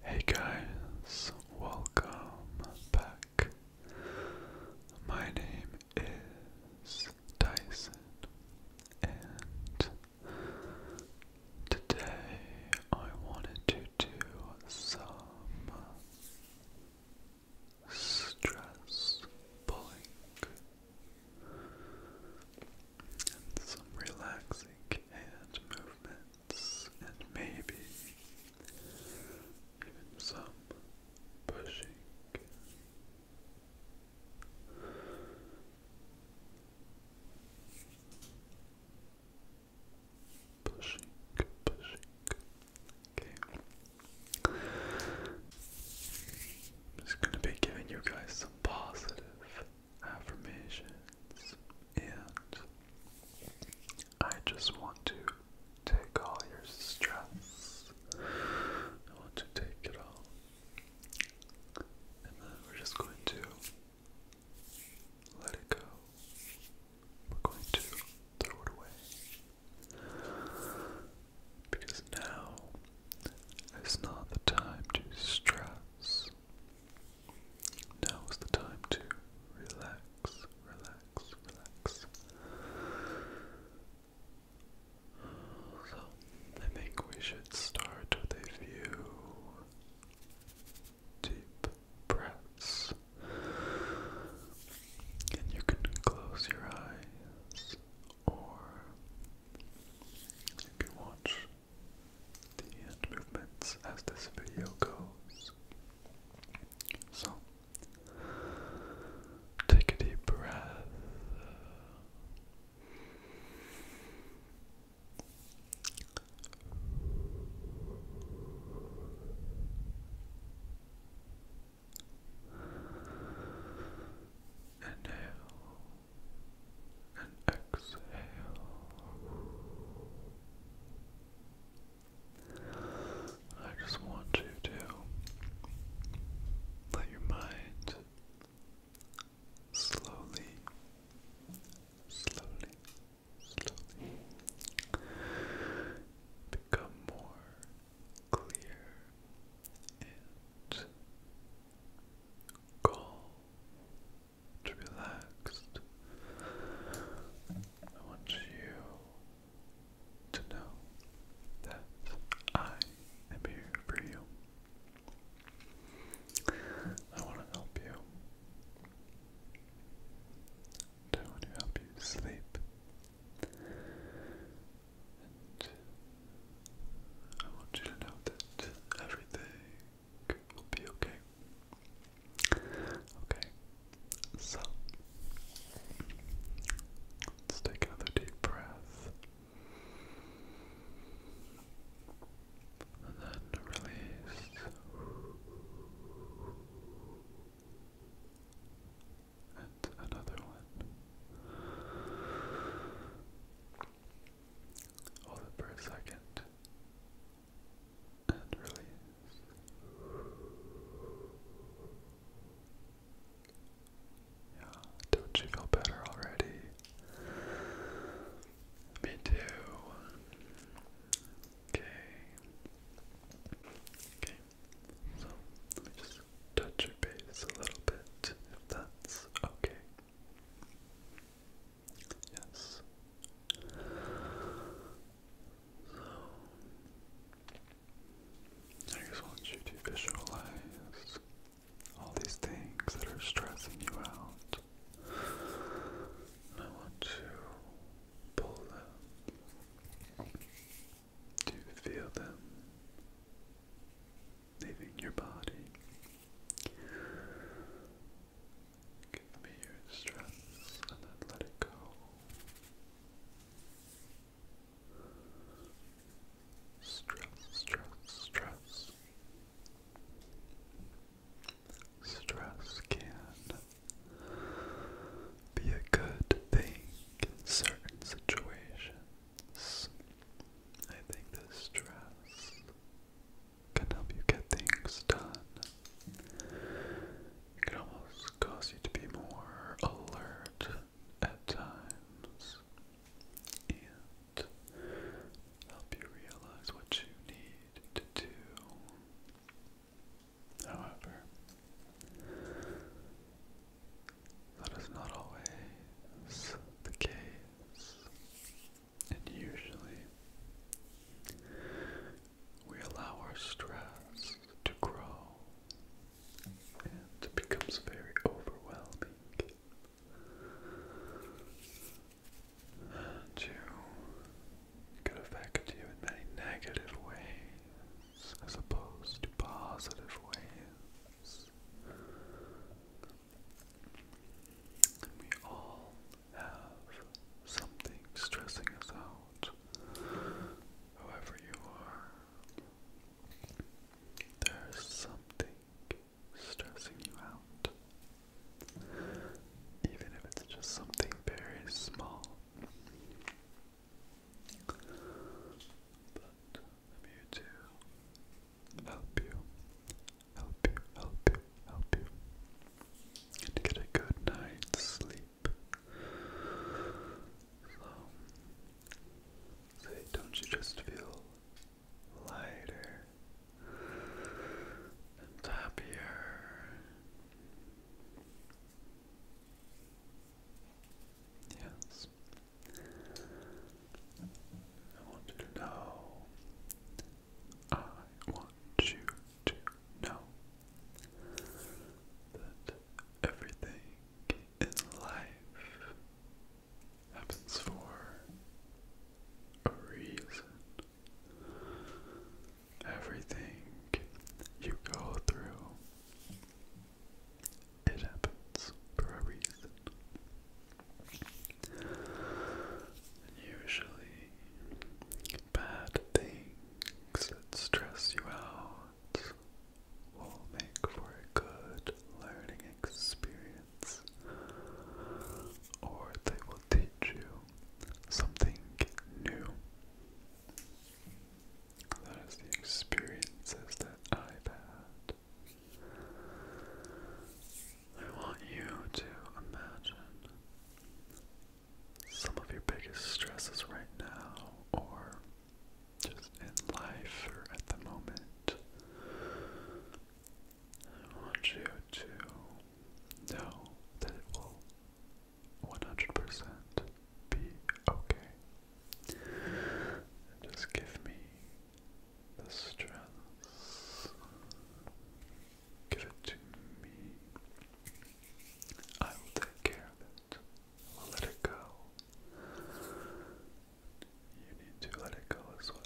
Hey guys, welcome back. My name is Dyson, and today I wanted to do some stress pulling and some relaxing hand movement and maybe even some pushing. Pushing, pushing. Okay. just gonna be giving you guys some positive affirmations, and I just want to take all your stress. I want to take it all. And then we're just going to let it go. We're going to throw it away. Because now is not the time to stress. Now is the time to relax, relax, relax. So, I think we should start with a few deep breaths. And you can close your eyes, or if you want, the hand movements as this video goes. So, take a deep breath. Inhale and exhale. I just want you to let your mind slowly, slowly, slowly become more clear and calm relaxed. I want you to know that I am here for you. I want to help you. I want to help you sleep. And I want you to know that everything will be okay. Okay, so let's take another deep breath. And then release. And another one. Hold it for a second and release. Yeah, don't you feel better already? Me too. Okay. Okay. So let me just touch your base a little bit, if that's okay. Yes. I just want you to visualize all these things that are stressing you out. I want to pull them, to feel them, leaving your body. Give me your stress and then let it go. Stress, stress, stress. Stress can be a good thing in certain situations. I think the stress can help you get things done. can almost cause you to be more alert at times and help you realize what you need to do. However, that is not always the case. And usually, we allow our stress to grow and it becomes very overwhelming. And you could affect you in many negative ways as opposed to positive ways we all have something stressing us out, whoever you are. There's something stressing you out, even if it's just something very small. But I'm here to help you help you, help you, help you. And get a good night's sleep. So, say, don't you just feel lighter and happier? Yes. I want you to know. I want you to know that everything in life happens for a reason. Everything you go through, it happens for a reason. And usually, bad things that stress you out will make for a good learning experience, or they will teach you something new. That is the experiences that I've had. I want you to imagine some of your biggest stresses right now, or just in life or at the moment. I want you to know that it will 100% be okay. just give me the stress. Give it to me. I will take care of it. I will let it go. You need to let it go as well.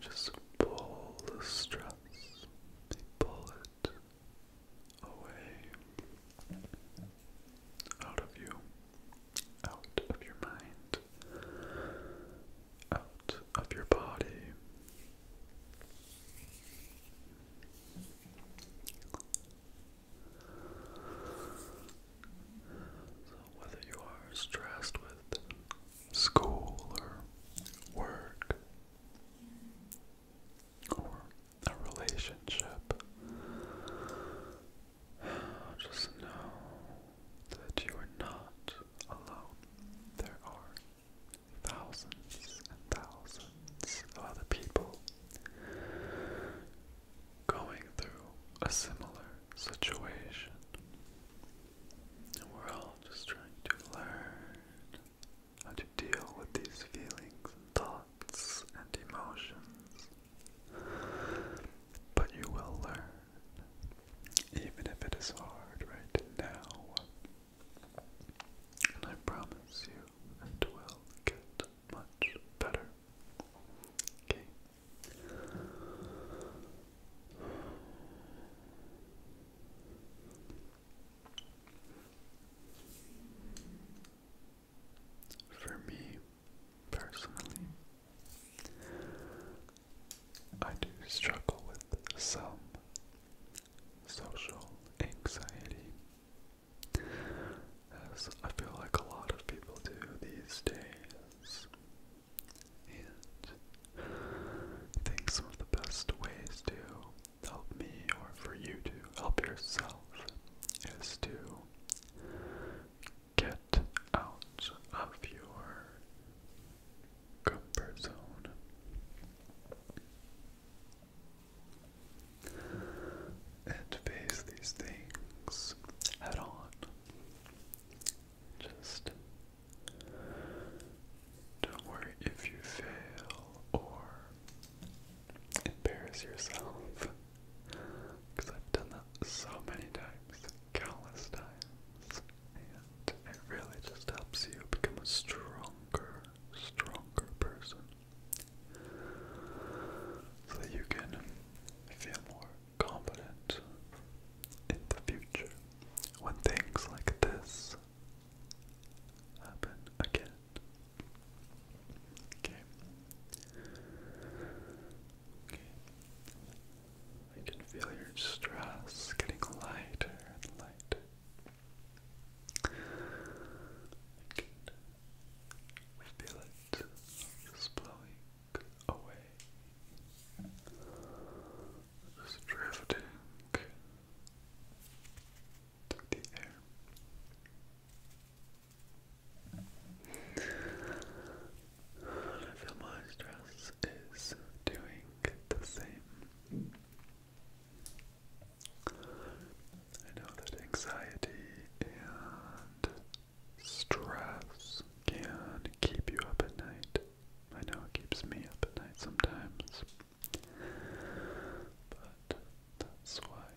Just pull the stress, pull it away out of you, out of your mind, out of your body. So, whether you are stressed with school or work, or a relationship. Just know that you are not alone. There are thousands and thousands of other people going through a similar situation. And we're all just trying to learn how to deal with these feelings and thoughts and emotions. But you will learn, even if it is hard right now. And I promise you, it will get much better. Okay. For me personally, I do struggle with some social anxiety, as I feel like a lot of people do these days. And I think some of the best ways to help me or for you to help yourself is to get out of your comfort zone and face these things head on. Just don't worry if you fail or embarrass yourself. Because I've done that so many times, countless times. And it really just helps you become a stronger, stronger person. So that you can feel more confident in the future when things like this happen again. Okay. Okay. I can feel your stress getting lighter and lighter. I can feel it blowing away. Just drifting I feel my stress is doing the same. I know that anxiety and stress can keep you up at night. I know it keeps me up at night sometimes. But that's why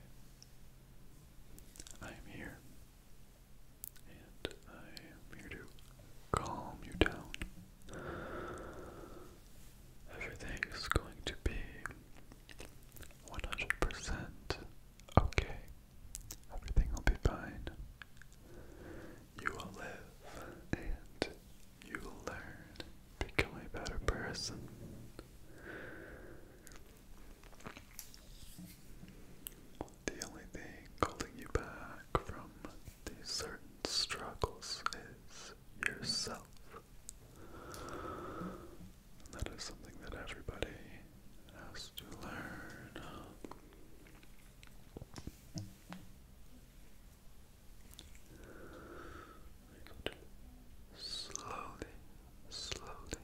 I'm here. And I am here to calm you down. Everything is going to be 100% okay. Everything will be fine. You will live and you will learn, become a better person. The only thing holding you back from these certain struggles is yourself. that is something that everybody has to learn. Slowly, slowly,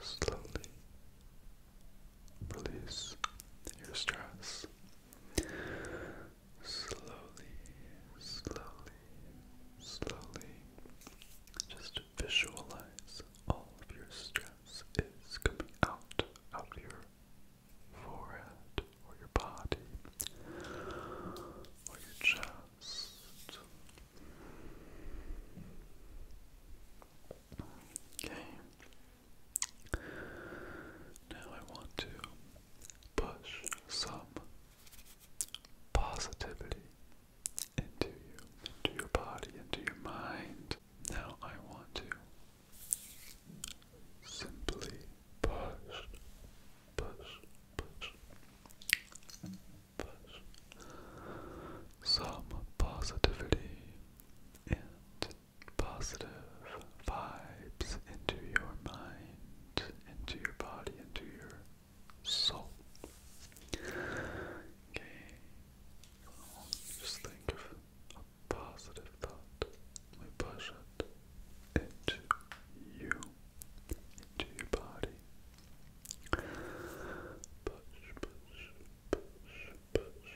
slowly release your stress. Slowly, slowly, slowly. Just visualize all of your stress is coming out, out of your forehead or your body or your chest. Okay. Now I want to push some positivity into you, into your body, into your mind. Now I want to Simply push, push, push, push some positivity and positive vibes into your mind, into your body, into your soul. Okay, just think of positive thought, we push it into you, into your body. Push, push, push, push, push.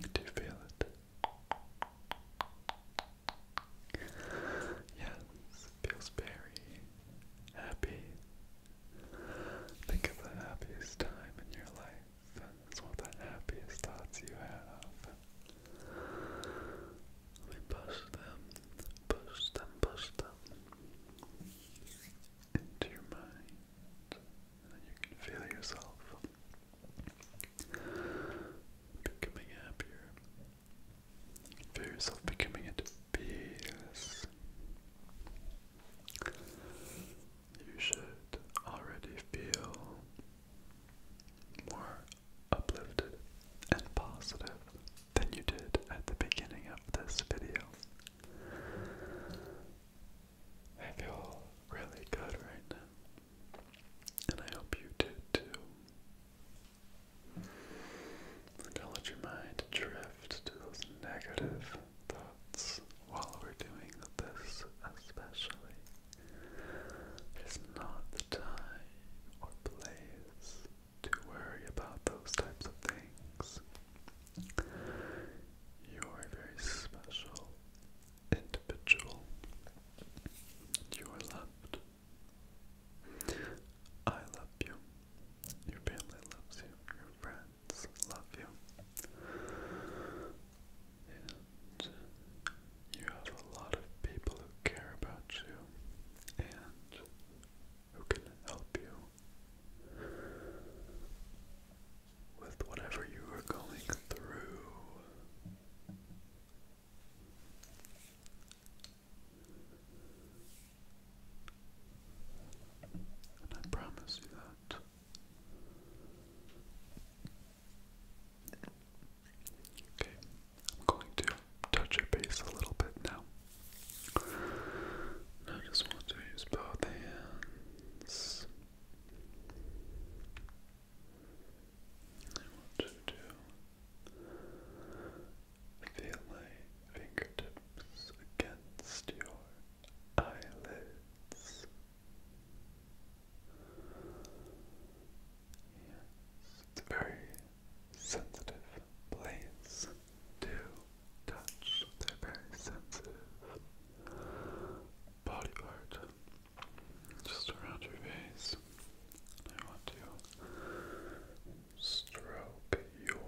Do you feel it? Yes, feels very happy. Think of the happiest time in your life. That's what the happiest thoughts you have. Let push them, push them, push them into your mind. And you can feel yourself becoming happier. feel yourself becoming at peace you should already feel more uplifted and positive than you did at the beginning of this video. I feel really good right now, and I hope you do too. I'm let your mind drift to those negative thoughts while we're doing this, especially. It's not the time or place to worry about those types of things. You are a very special individual. You are loved. I love you. Your family loves you. Your friends love you. And you have a lot of people who care about you and who can help you with whatever you are going through. And I promise you that Okay, I'm going to touch your base a little bit now. I just want to use both hands. I want you to feel my fingertips against your eyelids. Yes, it's very sensitive place to touch. They're very sensitive body part just around your face. I want to stroke your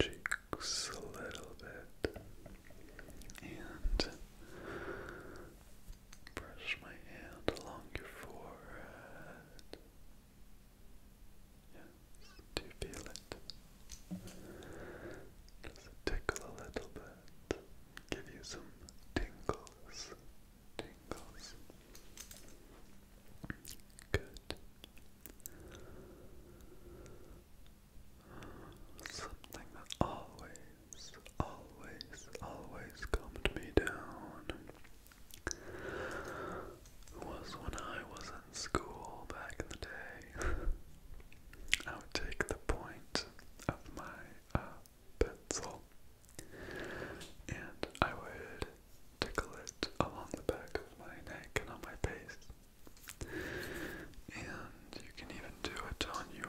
cheeks a little bit and brush my hand along your forehead. Yes, do you feel it? Does it tickle a little bit? Give you some tingles, tingles. Good. Something that always, always, always calmed me down was when I was in school back in the day. I would take the point of my uh, pencil and I would tickle it along the back of my neck and on my face. And you can even do it on your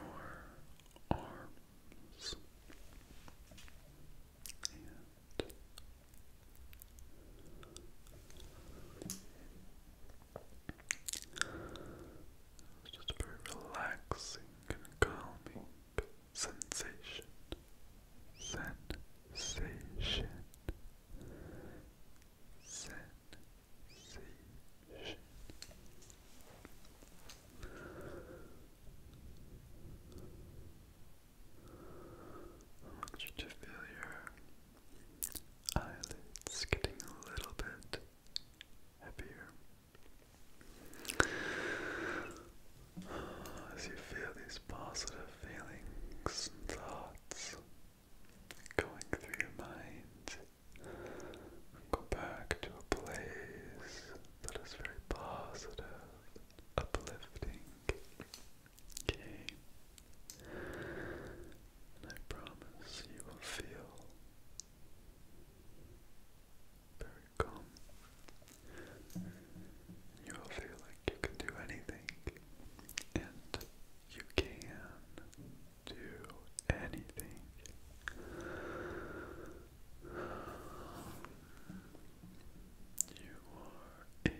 arms. it's just a very relaxing and calming sensation. Sensation. I want you to feel your eyelids getting a little bit happier. As you feel these positive feelings and thoughts going through your mind. Go back to a place that is very positive, uplifting. And I promise you will feel very calm. You will feel like you can do anything and you can do anything. You are a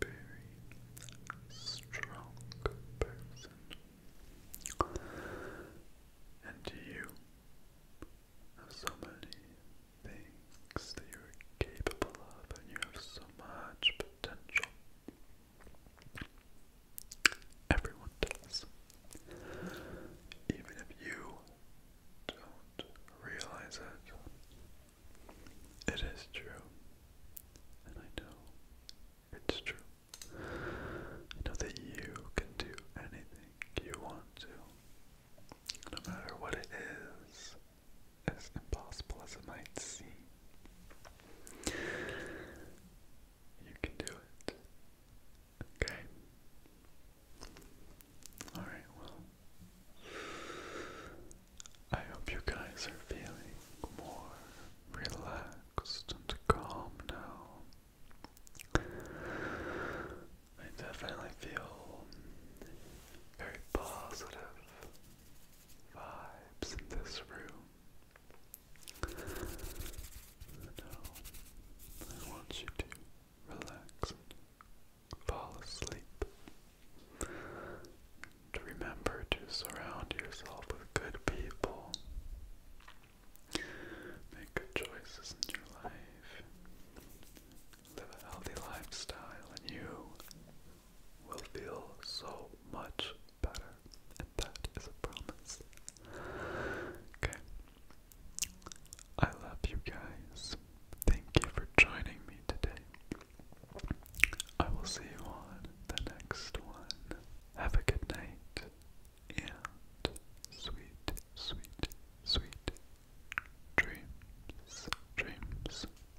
very strong person, and you have so many things that you are capable of, and you have so much potential. Everyone does. Even if you don't realize it, it is true. And I know it's true. know that you can do anything you want to, no matter what it is as impossible as it might seem, you can do it. Okay? Alright, well, I hope you guys are feeling more relaxed and calm now. I definitely feel very positive vibes in this room. Now, I want you to relax and fall asleep. To remember to surround yourself with good people. Make good choices in your life. Live a healthy lifestyle, and you will feel so much better. And that is a promise. Okay. I love you guys. Thank you for joining me today. I will see you on the next one. Have a good night and sweet, sweet, sweet dreams. Dreams,